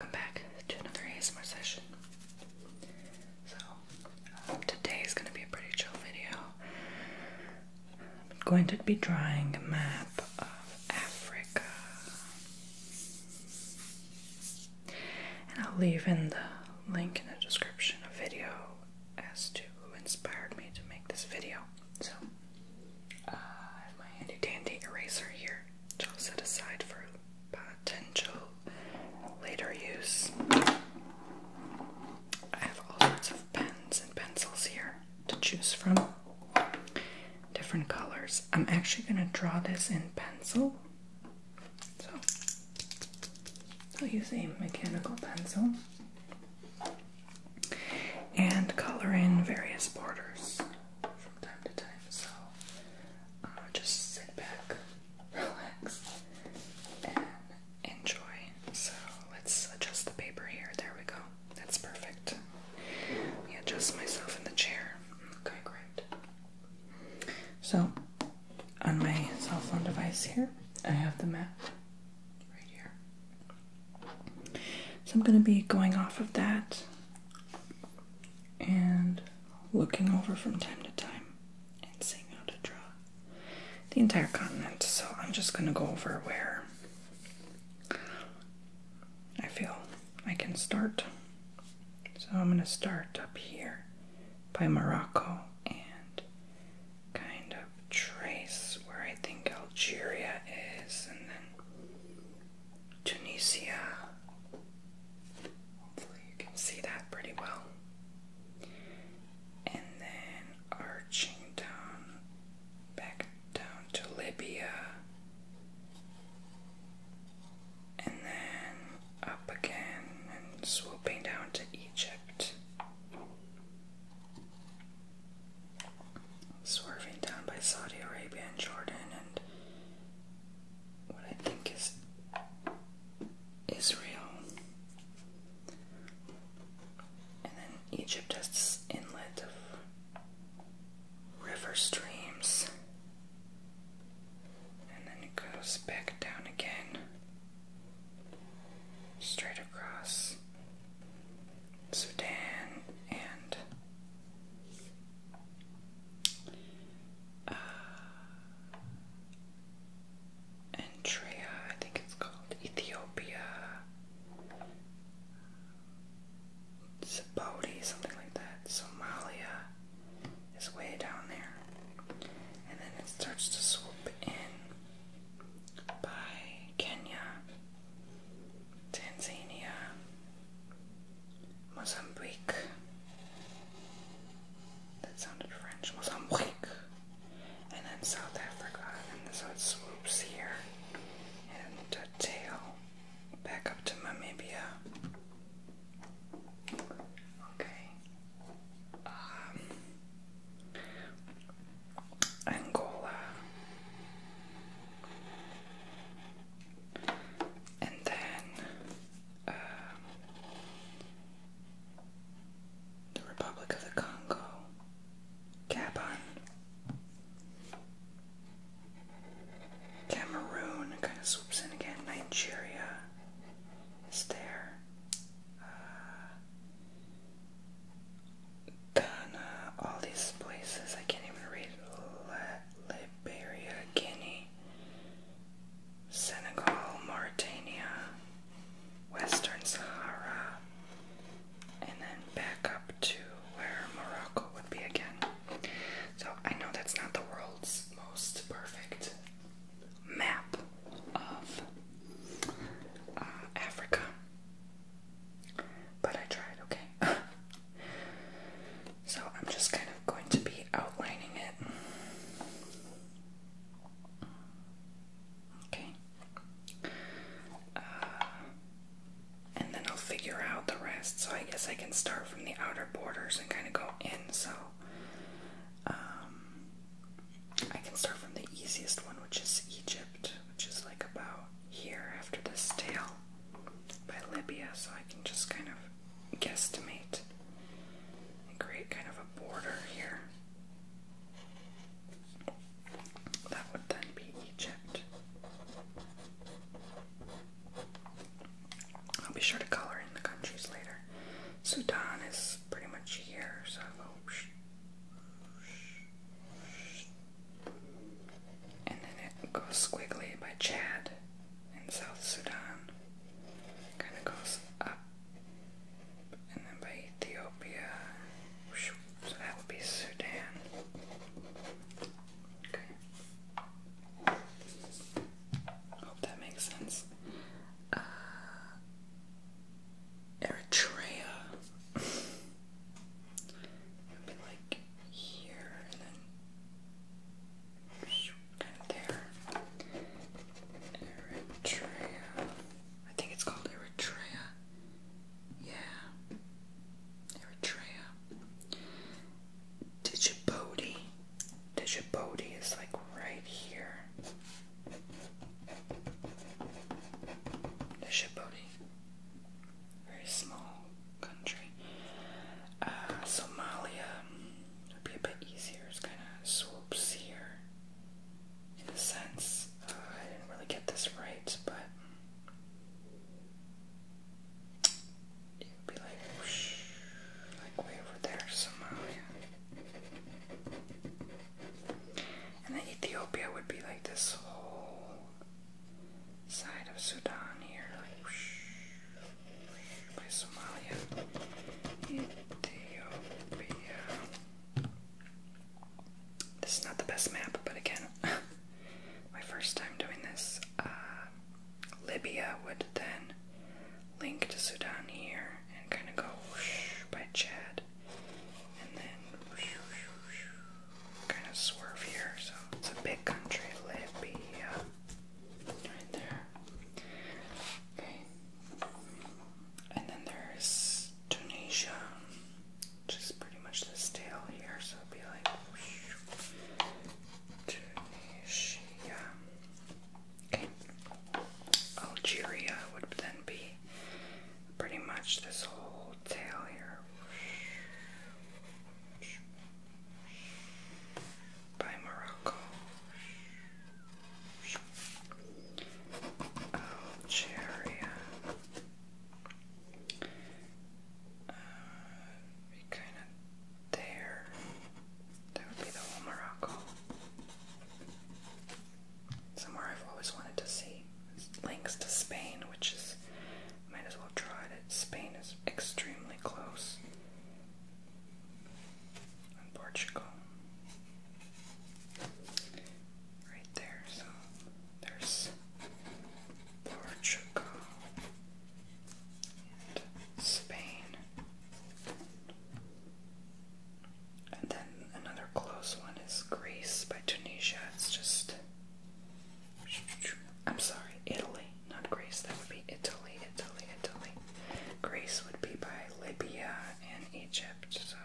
Welcome back to another ASMR session. So, um, today is going to be a pretty chill video. I'm going to be drawing a map of Africa. And I'll leave in the link in the description of video as to who inspired me to make this video. So, uh, I have my handy dandy eraser here, which I'll set aside for potential later use. I have all sorts of pens and pencils here to choose from, different colors. I'm actually going to draw this in pencil. So I'll use a mechanical pencil and color in various borders from time to time, so uh, just sit back, relax, and enjoy. So let's adjust the paper here. There we go. That's perfect. Let me adjust myself in the chair. Okay, great. So on my cell phone device here, I have the map right here. So I'm going to be going off of that and looking over from time to time and seeing how to draw the entire continent. So I'm just going to go over where I feel I can start. So I'm going to start up here by Morocco and kind of trace where I think Algeria is and then Tunisia. Hopefully, you can see that pretty well. And then arching down, back down to Libya. And then up again and swooping down to Egypt. Swerving down by Saudi Arabia and Jordan and what I think is Israel. And then Egypt has inlet of river streams. And then it goes back down again, straight across Sudan and uh, I think it's called Ethiopia. Djibouti, something like that. Somalia is way down there. And then it starts to swoop in by Kenya, Tanzania, Mozambique. That sounded French. Mozambique. And then South Africa. And so it swoops here. And uh, tail back up to Namibia. Okay. Um, Angola. And then um, the Republic of the Congo, Gabon, Cameroon kind of swoops in again, Nigeria is there, uh, Ghana, all these places, I can't even read, Liberia, Guinea. Senegal, Mauritania, Western Sahara, and then back up to where Morocco would be again. So I know that's not the world's most perfect map of uh, Africa, but I tried, okay? So I'm just kind of going to be outlining it. Okay. Uh, and then I'll figure out the rest. So I guess I can start from the outer borders and kind of go in. So um, I can start from the easiest one, which is Egypt, which is like about here after this tail by Libya. So I can just kind of guesstimate create kind of a border here. That would then be Egypt. I'll be sure to color in the countries later. Sudan is pretty much here, so I'll go. And then it goes squiggly by Chad in South Sudan. Kind of goes up, and then by Ethiopia. So that would be Sudan. Okay. Hope that makes sense. Uh, Eritrea. it like here and then. Eritrea. I think it's called Eritrea. Yeah. Eritrea. Djibouti. Djibouti is like right here. Djibouti. Very small country. Uh, Somalia would be a bit easier. It's kind of swoops here in a sense. Uh, I didn't really get this right, but it would be like like way over there, Somalia. And then Ethiopia would be like this whole side of Sudan here, by Somalia, Ethiopia. This is not the best map, but again, my first time doing this. Uh, Libya would then link to Sudan here and kind of go whoosh by Chad, and then kind of swerve here. So it's a big country, Libya. Right there. Okay. And then there's Tunisia, which pretty much this tail here, so be like Tunisia. Okay. Algeria would then be pretty much this whole tail here by Morocco. Algeria. Uh, kind of there. That would be the whole Morocco. Somewhere I've always wanted to see. links to Spain, which is might as well try it. Spain is extremely close. Portugal. Right there, so there's Portugal and Spain. And then another close one is Greece by Tunisia. It's just. I'm sorry, Italy not Greece, that would be Italy, Italy, Italy. Greece would be by Libya and Egypt, so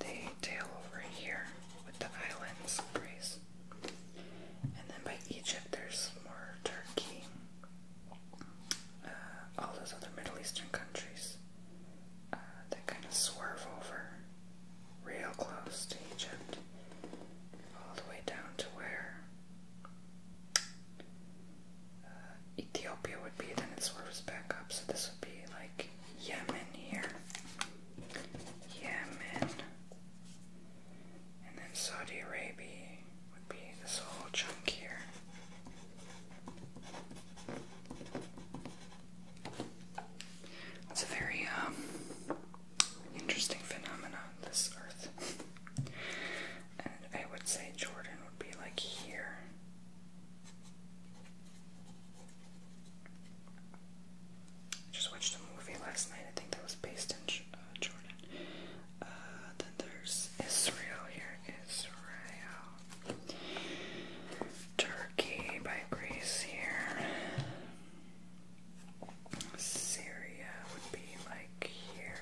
they tail over here with the islands of Greece. And then by Egypt, there's more Turkey, uh, all those other Middle Eastern countries uh, that kind of swerve over real close to Egypt, all the way down to where uh, Ethiopia would be, then it swerves back up, so this would be like Yemen here. Yemen. And then Saudi Arabia would be this whole chunk here. It's a very um, interesting phenomenon, this Earth and I would say Jordan would be like here. I just watched a movie last night, I think that was based in uh, Jordan. Uh, then there's Israel here, Israel. Turkey by Greece here. Syria would be like here.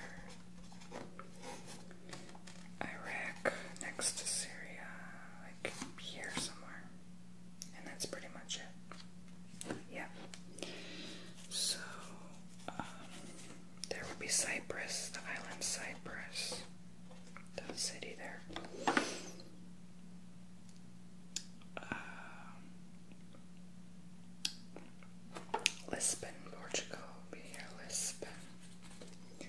Iraq next to Syria, like here somewhere. And that's pretty much it. Yeah. So, um, there would be Cyprus, the island Cyprus, the city there. Um, Lisbon, Portugal will Lisbon. I'm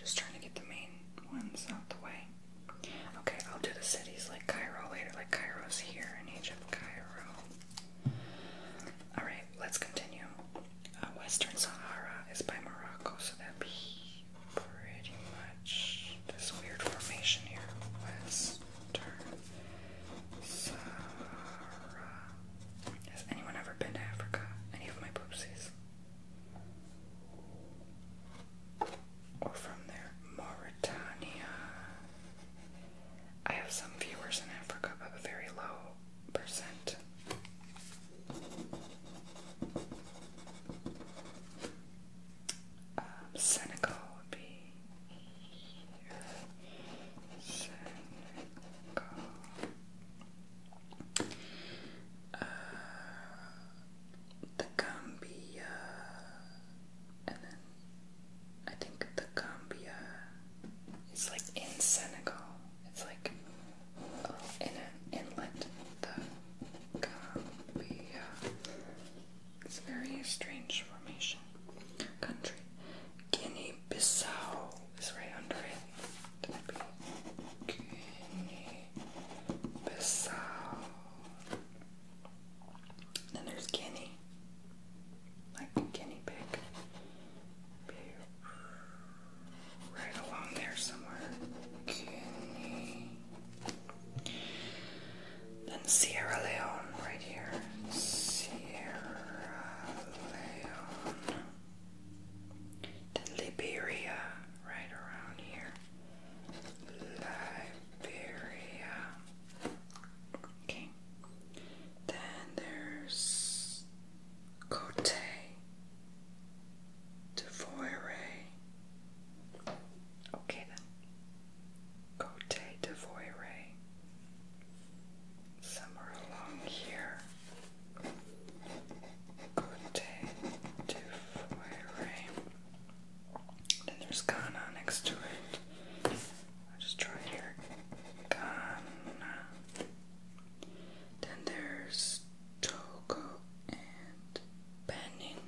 just trying to get the main ones out the way. Okay, I'll do the cities like Cairo later. Like Cairo's here in Egypt. Cairo. Alright, let's continue. Uh, Western Sahara is by Morocco, so that'd be pretty much this weird formation here. Western has anyone ever been to Africa? Any of my poopsies? Or from there? Mauritania. I have some viewers in Africa, but a very low percent. Um, Senegal would be Senegal, uh, the Gambia, and then I think the Gambia is like in Senegal. It's like oh, in an inlet. The Gambia. It's a very strange formation. Country. Guinea bissau is right under it. guinea Then there's Guinea. Like a guinea pig. Right along there somewhere. Then Sierra Leone right here. Sierra then Liberia, right around here. Liberia. Okay. Then there's Cote d'Ivoire. Okay then. Cote d'Ivoire somewhere along here Cote du Then there's Ghana next to it. I'll just try here. Ghana. Then there's Togo and Benin.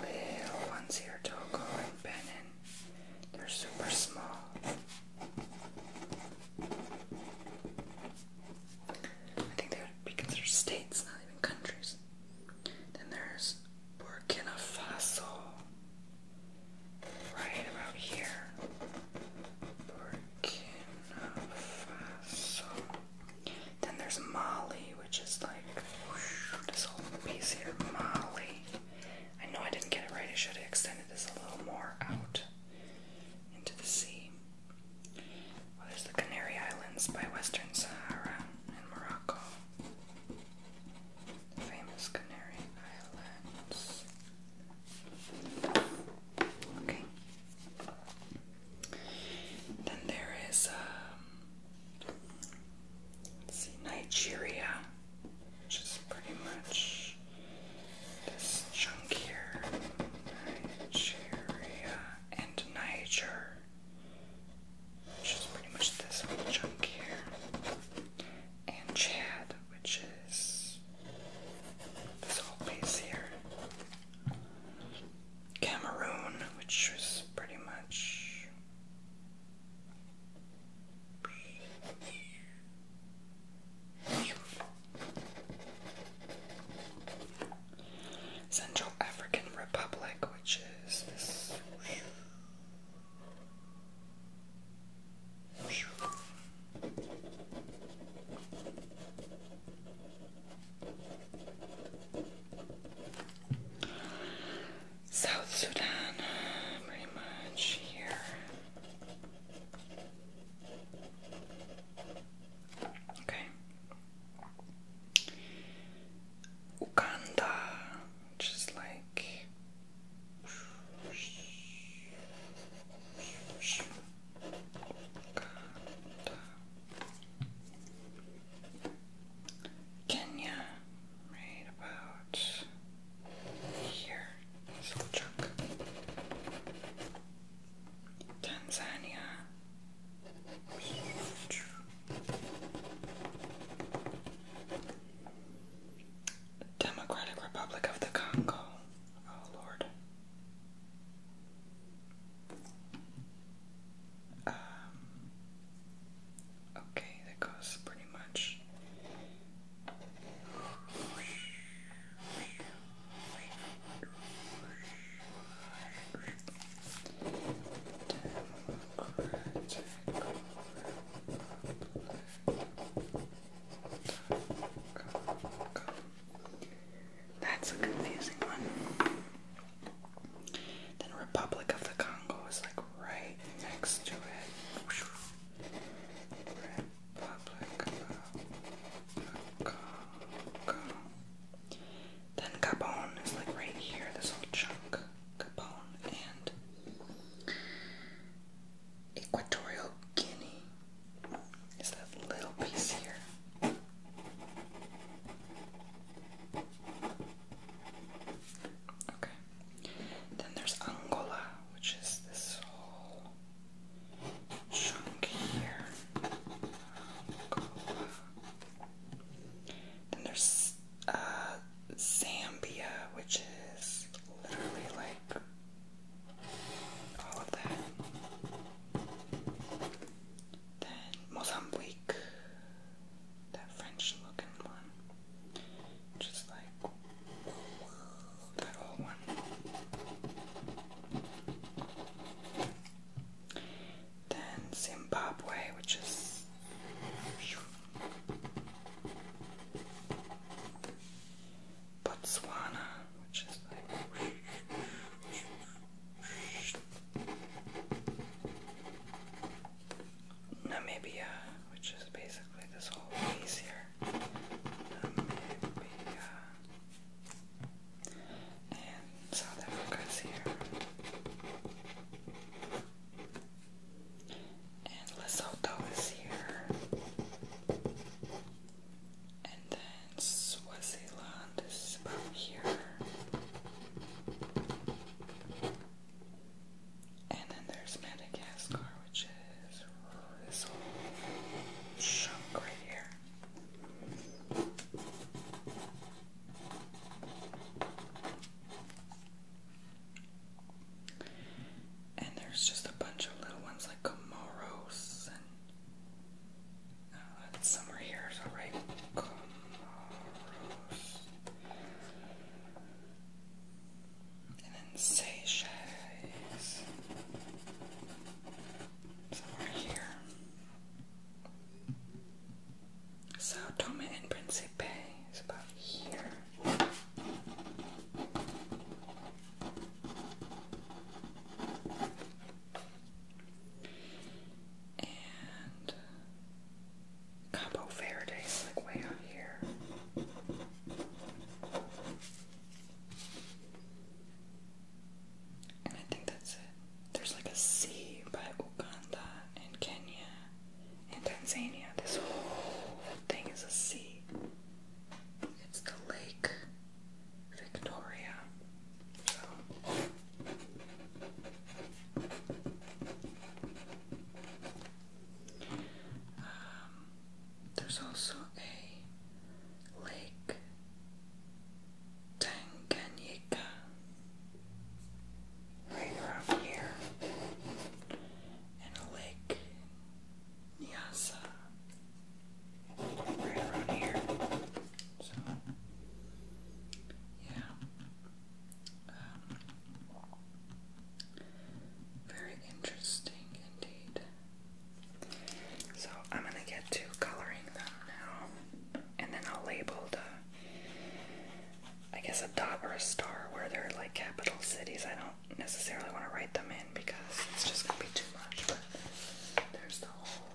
Little ones here, Togo and Benin. They're super small. I think they would be considered states, not even countries. Then there's Burkina Faso. Right about here. Burkina Faso. Then there's Mali, which is like this whole piece here. Mali. I know I didn't get it right. I should have extended this a little more out into the sea. Well, there's the Canary Islands by Western Sahara and Morocco. The famous Canary Islands. Okay. Then there is um, see, Nigeria, which is pretty much this chunk here. Nigeria and Niger, which is pretty much this whole chunk here. And Chad, which is this whole piece here. Cameroon, which is pretty much Central African Republic, which is this. South Sudan, pretty much here. Okay. Uganda, which like Kenya, right about here, this little chunk. Tanzania. Democratic Republic of the Congo. Oh Lord. Um, okay, that goes pretty much that's a confusing one. Then Republic of the Congo is like right next to it. Then Gabon is like right here, this whole chunk. Gabon and Equatorial Guinea is that little piece here. Okay. Then there's Angola, which is this whole chunk here. Then there's uh, Zambia, which is literally like all of that. Then Mozambique, that French looking one. Just like that old one. Then Zimbabwe, which is Botswana, which is like. Namibia, which is basically this whole piece here. Um, and South Africa's here. And Lesotho is here. And then Swaziland is about here. And then there's Madagascar, which is this chunk right here. And there's just a bunch of little ones like Comoros and uh, somewhere here, so Comoros and then Seychelles is somewhere here. So Tome and Principe is about here. And Cabo Verde is like way out here. And I think that's it. There's like a sea by Uganda and Kenya and Tanzania. This whole thing is a sea. It's the Lake Victoria. Um, there's also a lake Tanganyika right around here, and a lake Nyasa right around here. So, yeah. Um, very interesting indeed. So I'm gonna get to coloring them now, and then I'll label the, I guess a dot or a star where they're like capital cities. I don't necessarily want to write them in because it's just gonna be too much. But there's the whole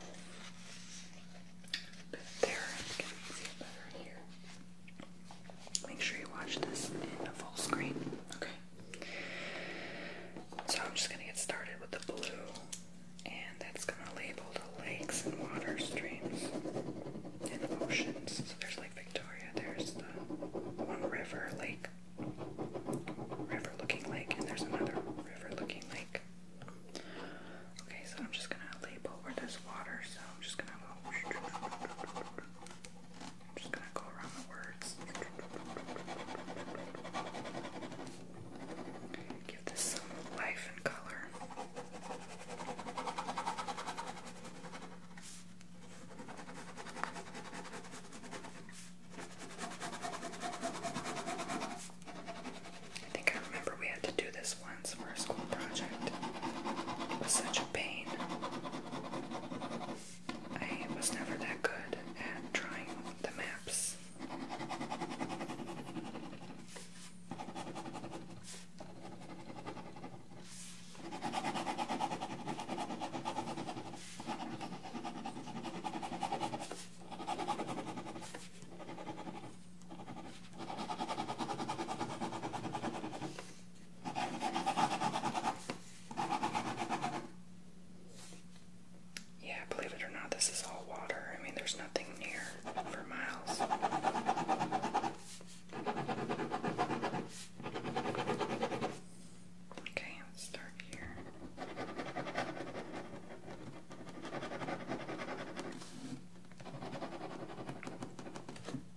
bit there, you can see it better in here. Make sure you watch this in full screen. Okay. So I'm just going to get started with the blue, and that's going to label the lakes and water streams and oceans. So there's like Victoria, there's the one river lake, river looking lake, and there's another river looking lake. Okay, so I'm just going to label over this water, so I'm just going to go. I'm just gonna go around the words. Give this some life and color. I think I remember we had to do this once for a school project. It was such a pain. I was never that good at drawing the maps. Yeah, believe it or not, this is all water. I mean, there's nothing near for miles. Okay, let's start here.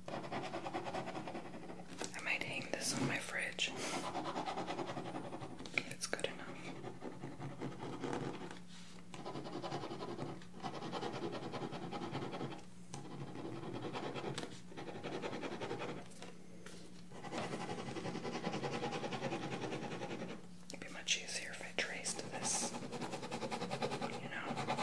I might hang this on my fridge if it's good enough. would be much easier if I traced this, you know.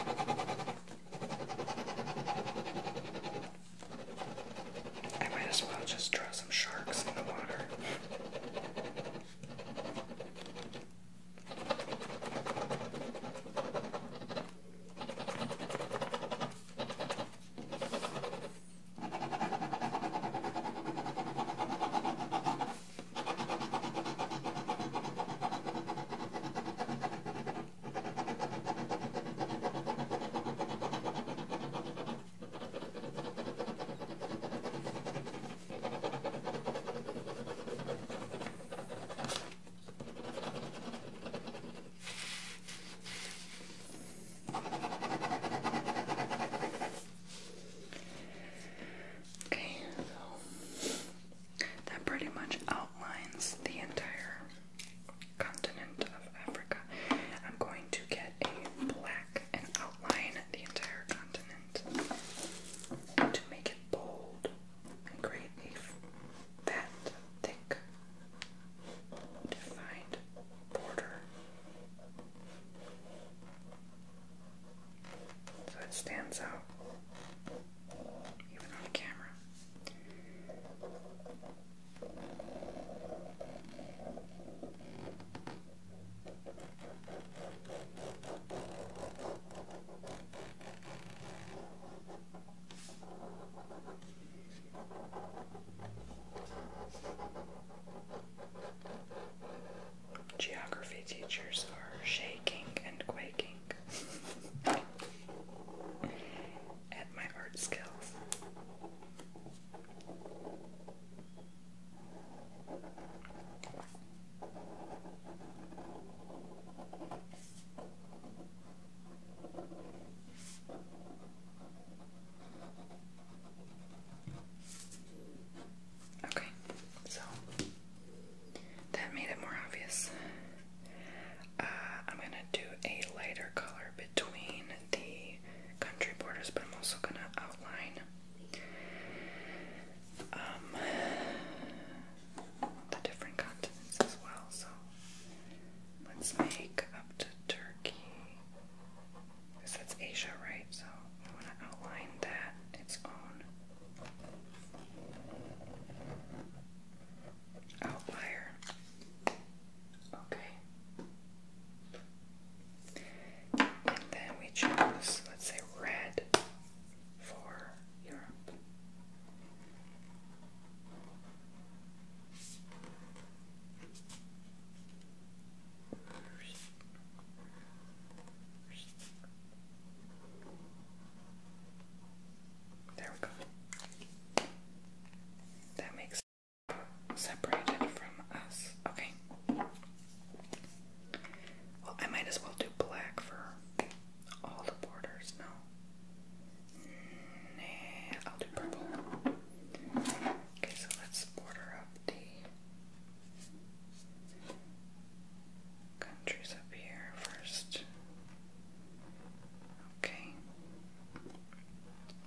I might as well just draw some sharks in the water. Okay, so that pretty much outlines the entire continent of Africa. I'm going to get a black and outline the entire continent to make it bold and create a fat, thick, defined border. So it stands out even on camera. Geography teachers are shaking and quaking at my art skills. Okay, so that made it more obvious. Uh, I'm going to do a lighter color between the country borders, but I'm also going to outline um, the different continents as well. So let's make up to Turkey. Because that's Asia, right? So I want to outline that its own outlier. Okay. And then we chose, let's say, red for Europe. There we go. That makes it separated from us. Okay. Well, I might as well do black for all the borders. No. Nah, I'll do purple. Okay, so let's border up the countries up here first. Okay.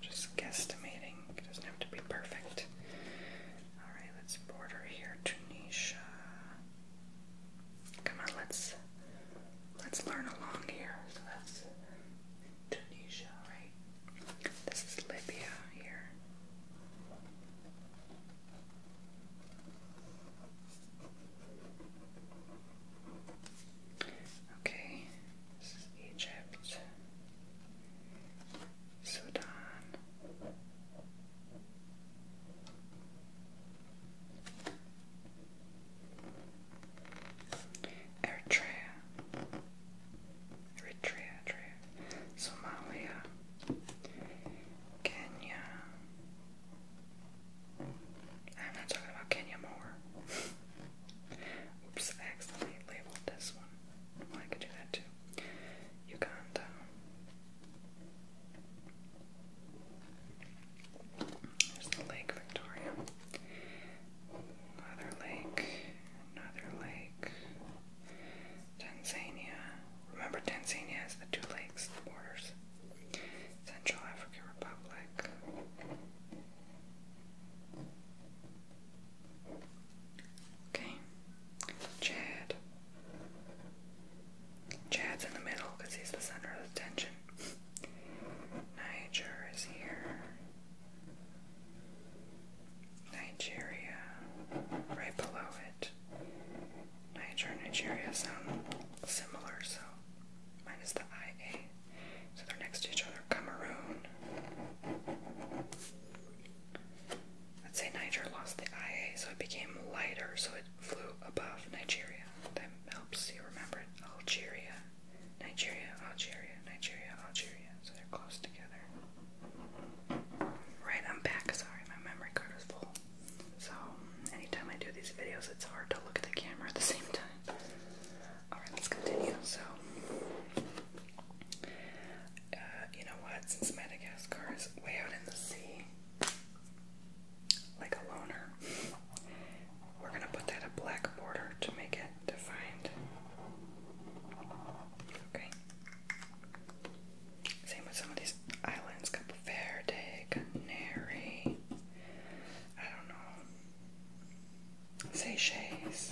Just guesstimating. It doesn't have to be perfect. Alright, let's border here. Tunisia. Come on, let's let's learn along here. So that's Tunisia, right? This is Libya here. Okay, this is Egypt, Sudan. Eritrea, Eritrea, Eritrea, Somalia, Kenya. I'm not talking about Kenya more. Oops, I accidentally labeled this one. I could do that too. Uganda. There's the Lake Victoria. Another lake. Another lake. Tanzania. Remember, Tanzania has the two lakes, the borders. Central African Republic. Okay, Chad. Chad's in the middle because he's the center of attention. Niger is here. Nigeria, right below it. Niger and Nigeria sound similar, so minus the IA. So they're next to each other. Cameroon. Let's say Niger lost the IA, so it became lighter, so it flew above Nigeria. That helps you remember it. Algeria, Nigeria, Algeria, Nigeria, Algeria. So they're close together. Right, I'm back. Sorry, my memory card is full. So anytime I do these videos, it's hard to look at the camera at the same time. Alright, let's continue. So, uh, you know what? Since Madagascar is way out in the sea, like a loner, we're gonna put that a black border to make it defined. Okay. Same with some of these islands. Cape Verde, Canary. I don't know sachets.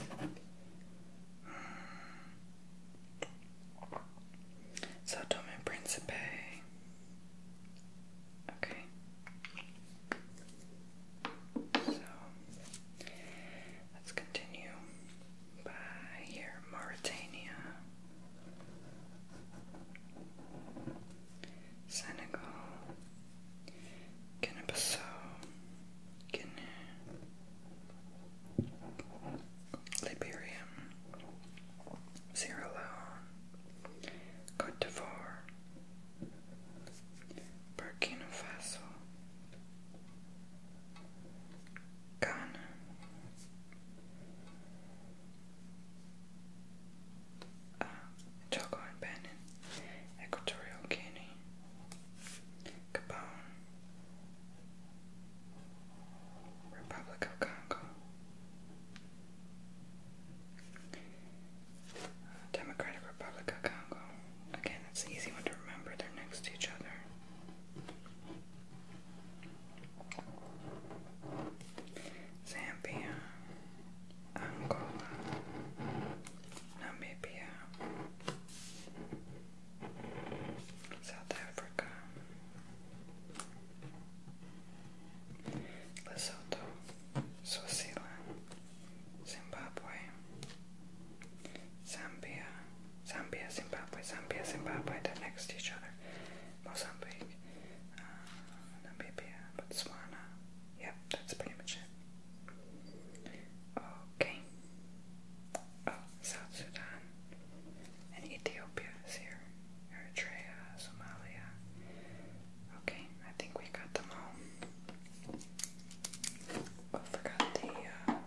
So Tome Principe. Okay. So let's continue here, Mauritania, Senegal, Guinea-Bissau, Guinea, Liberia, Sierra Leone, Cote d'Ivoire, Burkina Faso, Ghana, um, and Bannon, Equatorial Guinea, Gabon, Republic of Congo, uh, Democratic Republic of Congo. Again, it's an easy one to remember, they're next to each other. Zambia, Angola, Namibia, South Africa, Lesotho, Swaziland, Zimbabwe, Zambia, Zambia, Zimbabwe, Zambia, Zimbabwe, they're next to each other, Mozambique, uh, Namibia, Botswana yeah, that's pretty much it. Okay. Oh, South Sudan and Ethiopia is here. Eritrea, Somalia. Okay, I think we got them all. I oh, forgot the uh,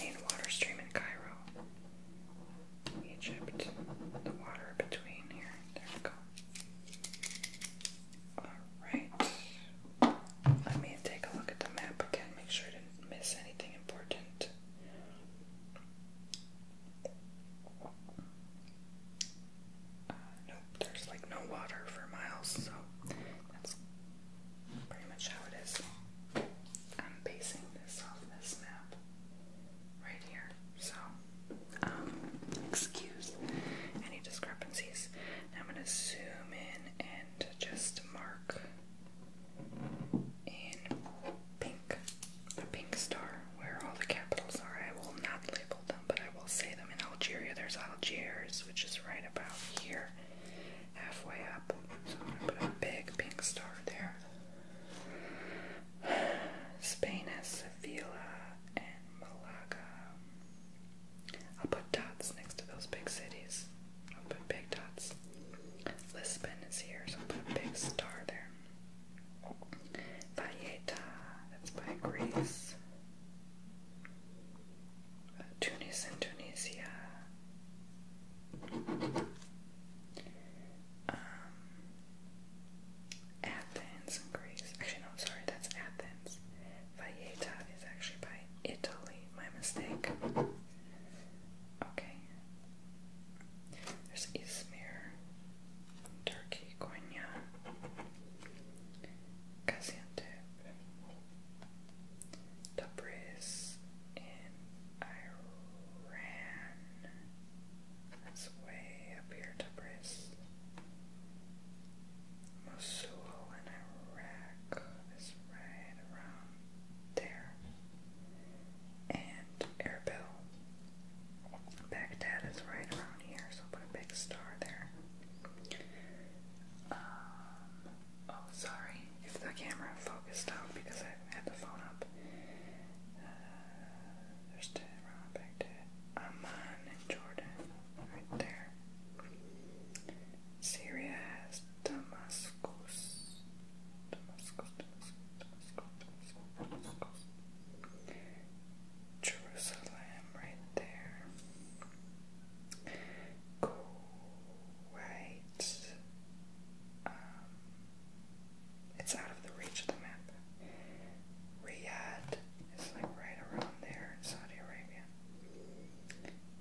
main water stream in Cairo. Egypt, the water between here. There we go. Alright. Let me take a look at the map again, make sure I didn't miss anything important. Uh, nope, there's like no water for miles, so that's pretty much how it is. I'm basing this off this map right here, so um, excuse any discrepancies. I'm going to zoom in and just mark in pink, a pink star, where all the capitals are. I will not label them, but I will say them. In Algeria, there's Algiers, which is right about here, halfway up. So I'm going to put a big pink star there. Spain has Sevilla and Malaga. I'll put dots next to those big cities. I'll put big dots. Lisbon is here, so I'll put a big star there. Valletta, that's by Greece. Uh, Tunis in Tunisia. Um, Athens and Greece. Actually, no, sorry, that's Athens. Valletta is actually by Italy. My mistake. Okay. There's Izmir, Turkey, Konya, Gaziantep, Tabriz in Iran. That's way up here, Tabriz. Mosul in Iraq is right around there. And Erbil. Baghdad is right around here, so I'll put a big star there. Um, oh, sorry if the camera focused out because I had the phone up. Uh, there's Tehran, Baghdad, Amman, and Jordan right there. Syria has Damascus. Damascus, Damascus, Damascus, Jerusalem, right there. Kuwait. Um, it's out of the reach of the map. Riyadh, it's like right around there in Saudi Arabia.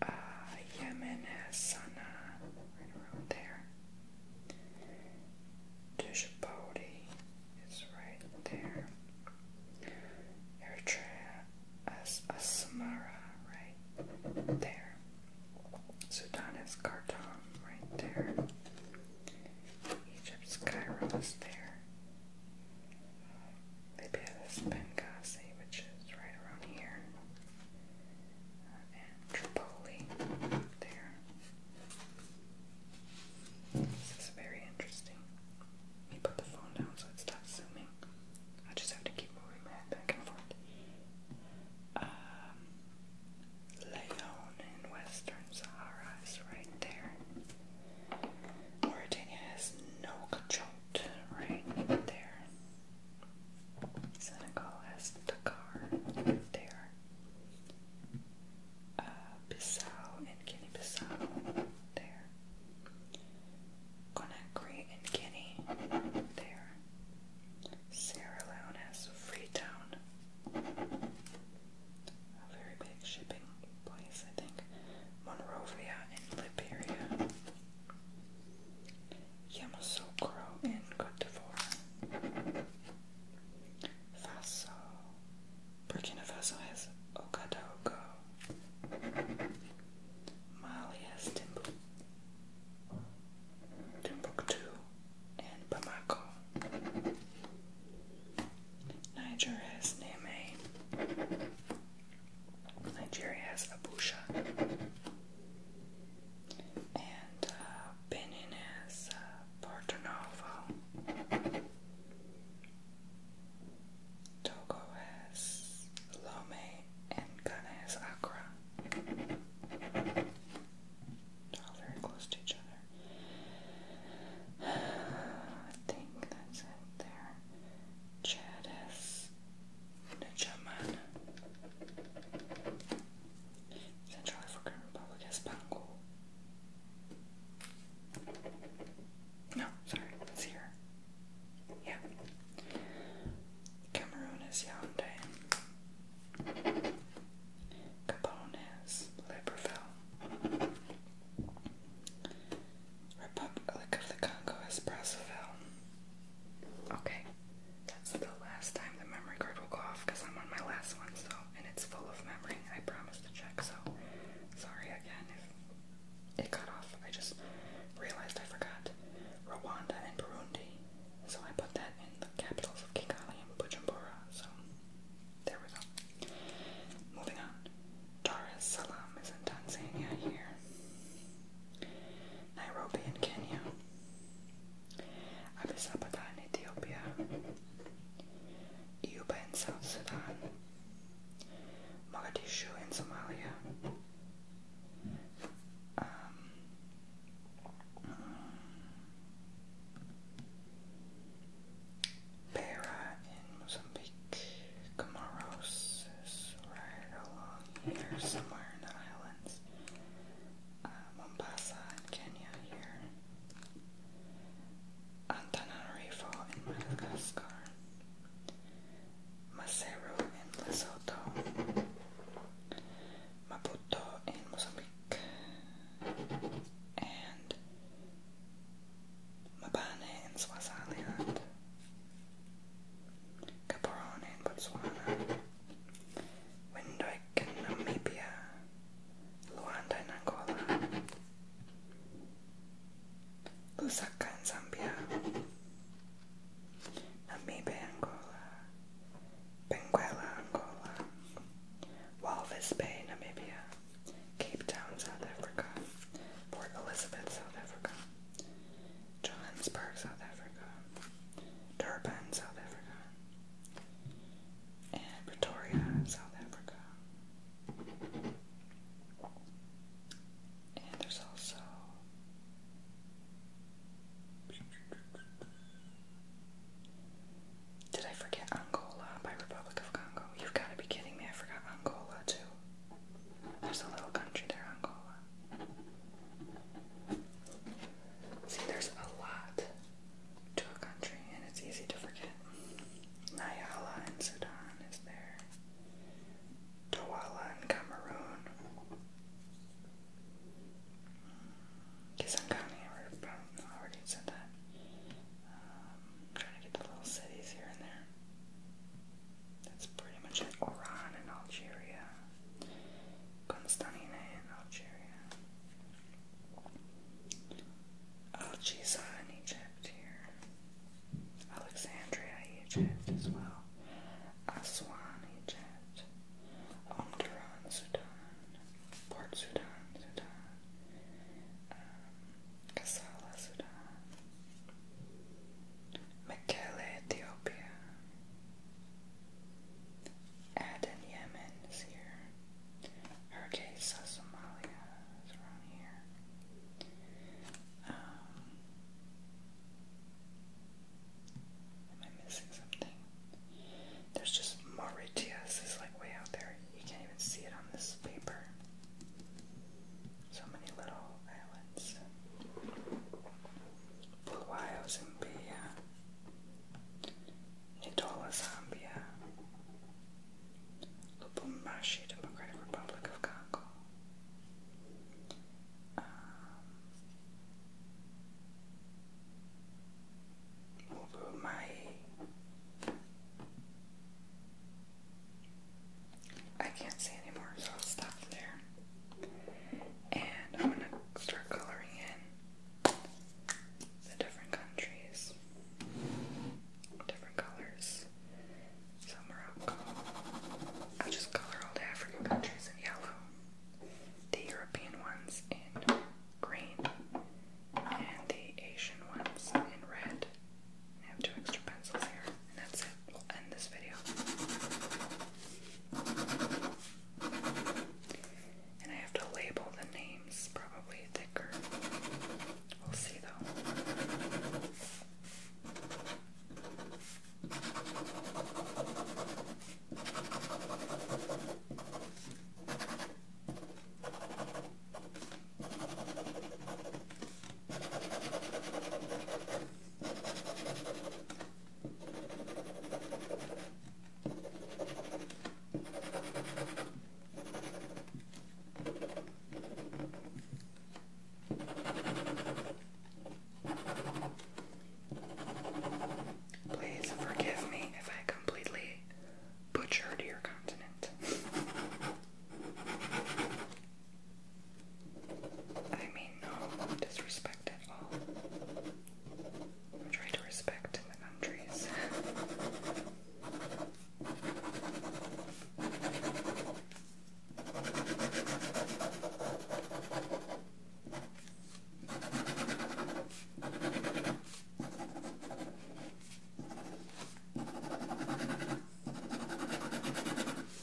Uh, Yemen has Sana'a, right around there. Djibouti is right there. Eritrea has Asmara, right there. Sudan has Khartoum, right there. Egypt's Cairo is there. Maybe Benghazi, which is right around here, uh, and Tripoli there. This is very interesting. Let put the phone down so it stops zooming. I just have to keep moving my back and forth. Um, Leon in Western Sahara is right there. Mauritania has no Kajot right there. Senegal has Dakar right there. Uh, Bissau and Guinea Bissau there. Conakry and Guinea there. Sierra Leone has Freetown. A very big shipping place, I think. Monrovia in Liberia. Yamoussoukro in Cote d'Ivoire. Faso. Burkina Faso has Ogadogo. Mali has Timbuktu. Timbuktu and Bamako. Niger has Niamey. Nigeria has Abusha, and uh, Benin has uh, Porto Novo. Togo has Lomé, and Ghana has Accra. all very close to each other. I think that's it there. Chad is Chedas, Ndjamena, Central African Republic has Bango. No, sorry, it's here. Yeah. Cameroon is Yaoundé. Gabon is Libreville. Republic of the Congo is Okay, that's the last time the memory card will go off because I'm on my last one, so and it's full of memory. I promised to check, so sorry again if it cut off. I just realized I forgot Rwanda and Burundi, so I put that in the capitals of Kigali and Bujumbura. So there we go. Moving on. Dar es Salaam is in Tanzania here. Nairobi in Kenya. Addis Ababa in Ethiopia. Yuba in South Sudan. Mogadishu in Somalia. Um, Beira in Mozambique. Comoros right along here somewhere in the islands. Uh, Mombasa in Kenya here. Antananarivo in Madagascar. Maseru in Lesotho. Maputo in Mozambique. And Mabane in Swaziland, Gaborone in Botswana, Windhoek Namibia, Luanda Angola, Lusaka Zambia, Namibe Angola, Benguela Angola, Walvis Bay Namibia, Cape Town, South Africa, Port Elizabeth, South Africa, Johannesburg, South Africa, Durban, South Africa, and Pretoria, South Africa. And there's also did I forget Angola by Republic of Congo? You've got to be kidding me, I forgot Angola too. There's a little country there, Angola. See, there's a lot to a country, and it's easy to forget. Nayala and Sudan is there. Douala and Cameroon. Because I am I've already said that. I'm um, trying to get the little cities here and there. That's pretty much it. Oran in Algeria. Constantine in Algeria. Algisa in Egypt here. Alexandria, Egypt as well. Aswan, Egypt. Omdurman, Sudan. Port Sudan, Sudan. Um, Kassala, Sudan, Ethiopia, Aden, Yemen is here, Hargeisa, Somalia is around here. Um, am I missing something? There's just Mauritius is like way out there. You can't even see it on this paper. So many little islands. Bulawayo, Zimbia, Ndola, Zambia, Lubumbashi, Democratic Republic of Congo. Um, I can't see anymore, so I'll stop there. And I'm gonna start coloring in the different countries, different colors. So Morocco. I'll just color all the African countries in yellow, the European ones in green, and the Asian ones in red. I have two extra pencils here, and that's it. We'll end this video. And I have to label the names probably thicker. We'll see though. Please forgive me if I completely butchered your continent. I mean, no disrespect at all. I'm to respect the countries.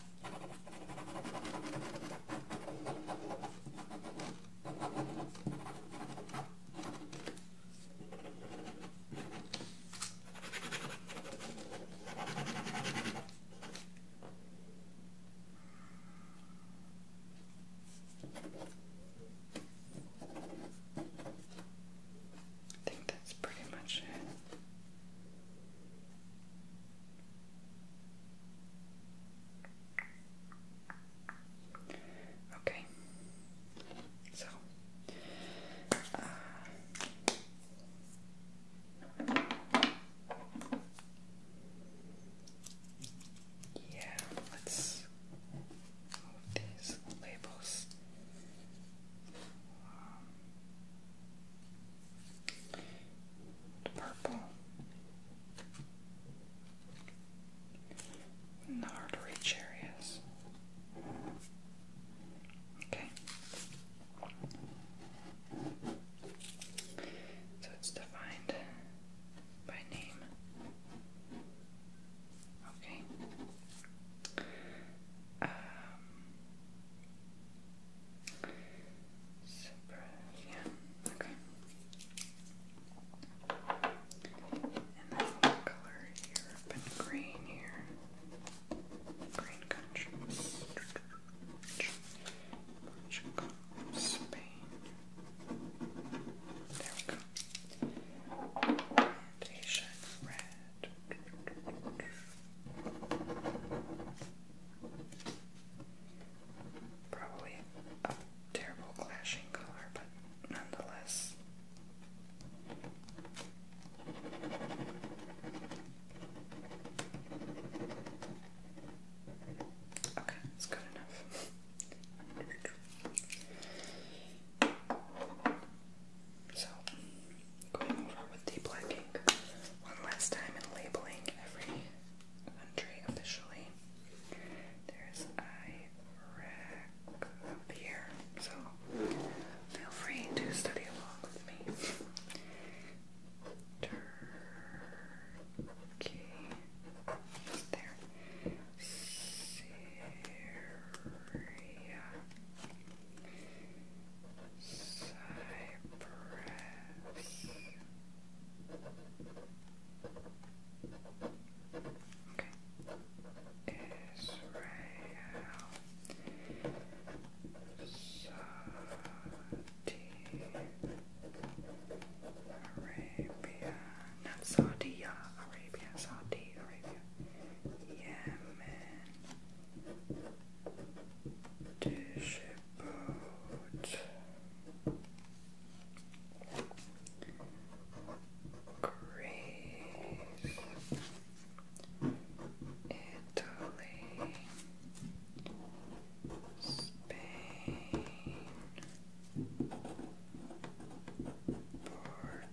I think that's pretty much it. Okay, so uh, yeah, let's move these labels. Um, purple the hard areas. Okay. So it's defined by name. Okay. Um, Surprise, yeah, okay. And then what color Europe and green here? Green countries. Portugal, Spain. There we go. And red. Probably a terrible clashing color, but nonetheless. Okay, it's good enough. So, going over with the black one last time and labeling every country officially. There's Iraq up here, so feel free to study along with me. Turkey there. Syria. Cypress. Israel. Saudi Arabia. Not Saudi Arabia. Saudi Arabia. Yemen. Digibot Greece Italy Spain Portugal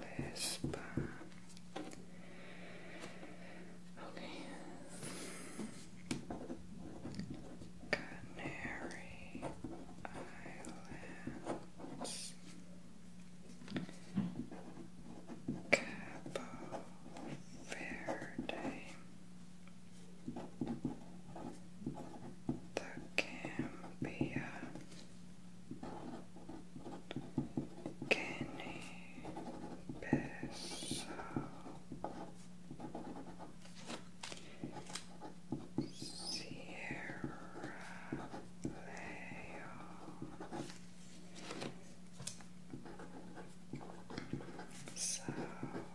Vespa. Canary Islands. Cabo Verde. The Gambia, Sierra Leone, Sao and Principe.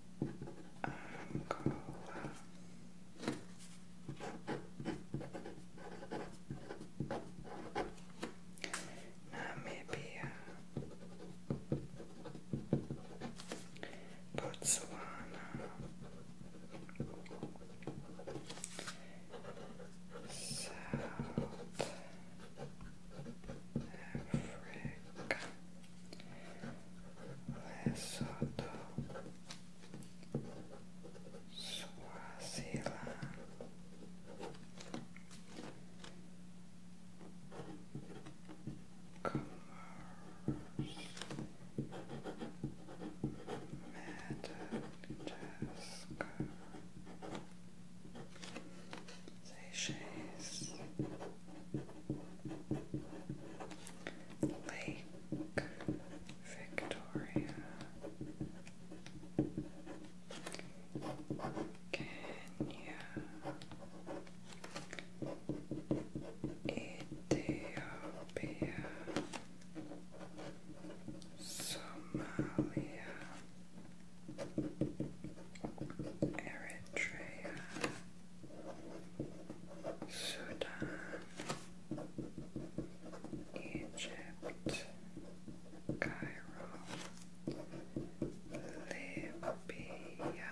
Angola. Namibia, Botswana, South Africa, Lesotho, Swaziland, Commerce, Madagascar, Seychelles. Lake Victoria Kenya Ethiopia Somalia Eritrea Sudan, Egypt, Cairo, Libya,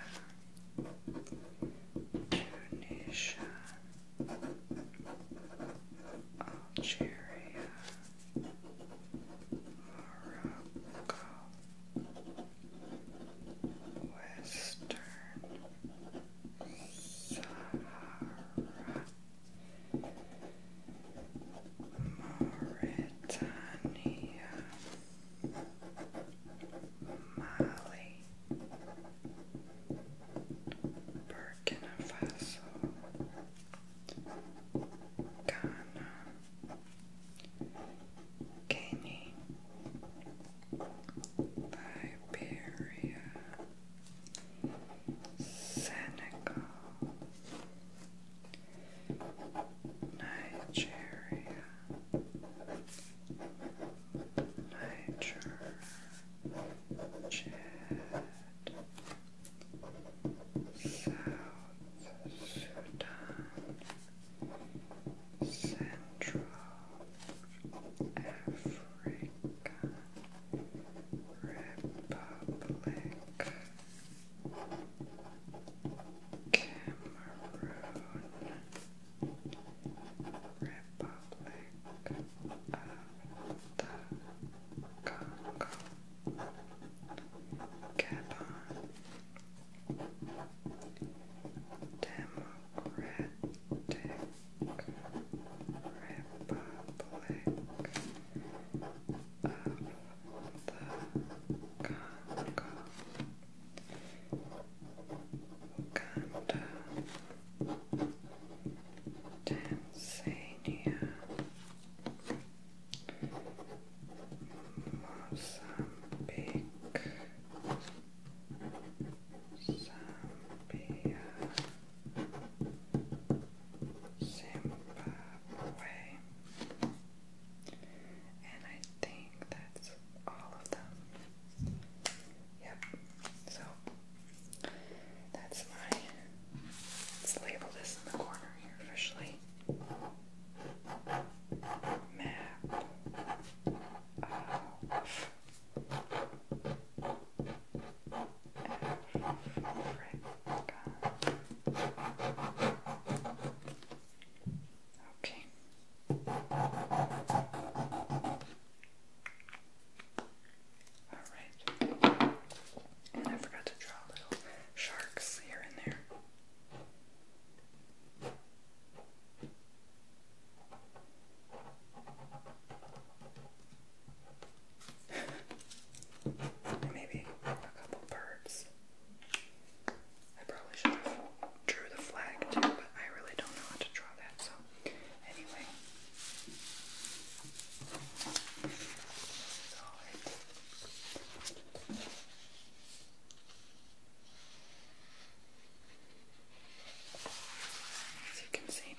Tunisia, Algeria, Morocco, Western Sahara, Mauritania, Mali, Burkina Faso, Ghana. Guinea, Liberia, Senegal, Nigeria, Niger, Chad, South Sudan, Central Africa Republic, Cameroon, Republic of the Congo, Gabon. Democratic Republic of the Congo, Uganda, Tanzania, Mozambique, Zambia, Zimbabwe, and I think that's all of them. Yep, so that's my. Let's label this in the corner here officially. Map of Okay. Alright. I forgot to draw little sharks here and there. Maybe a couple birds. I probably should have drew the flag too, but I really don't know how to draw that. So anyway, as you can see.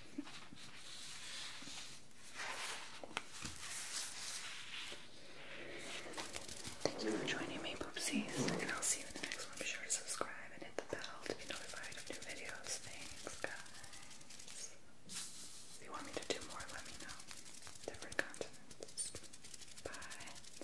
Thank you for joining me, Poopsies, and I'll see you in the next one. Be sure to subscribe and hit the bell to be notified of new videos. Thanks, guys. If you want me to do more, let me know. Different continents. Bye.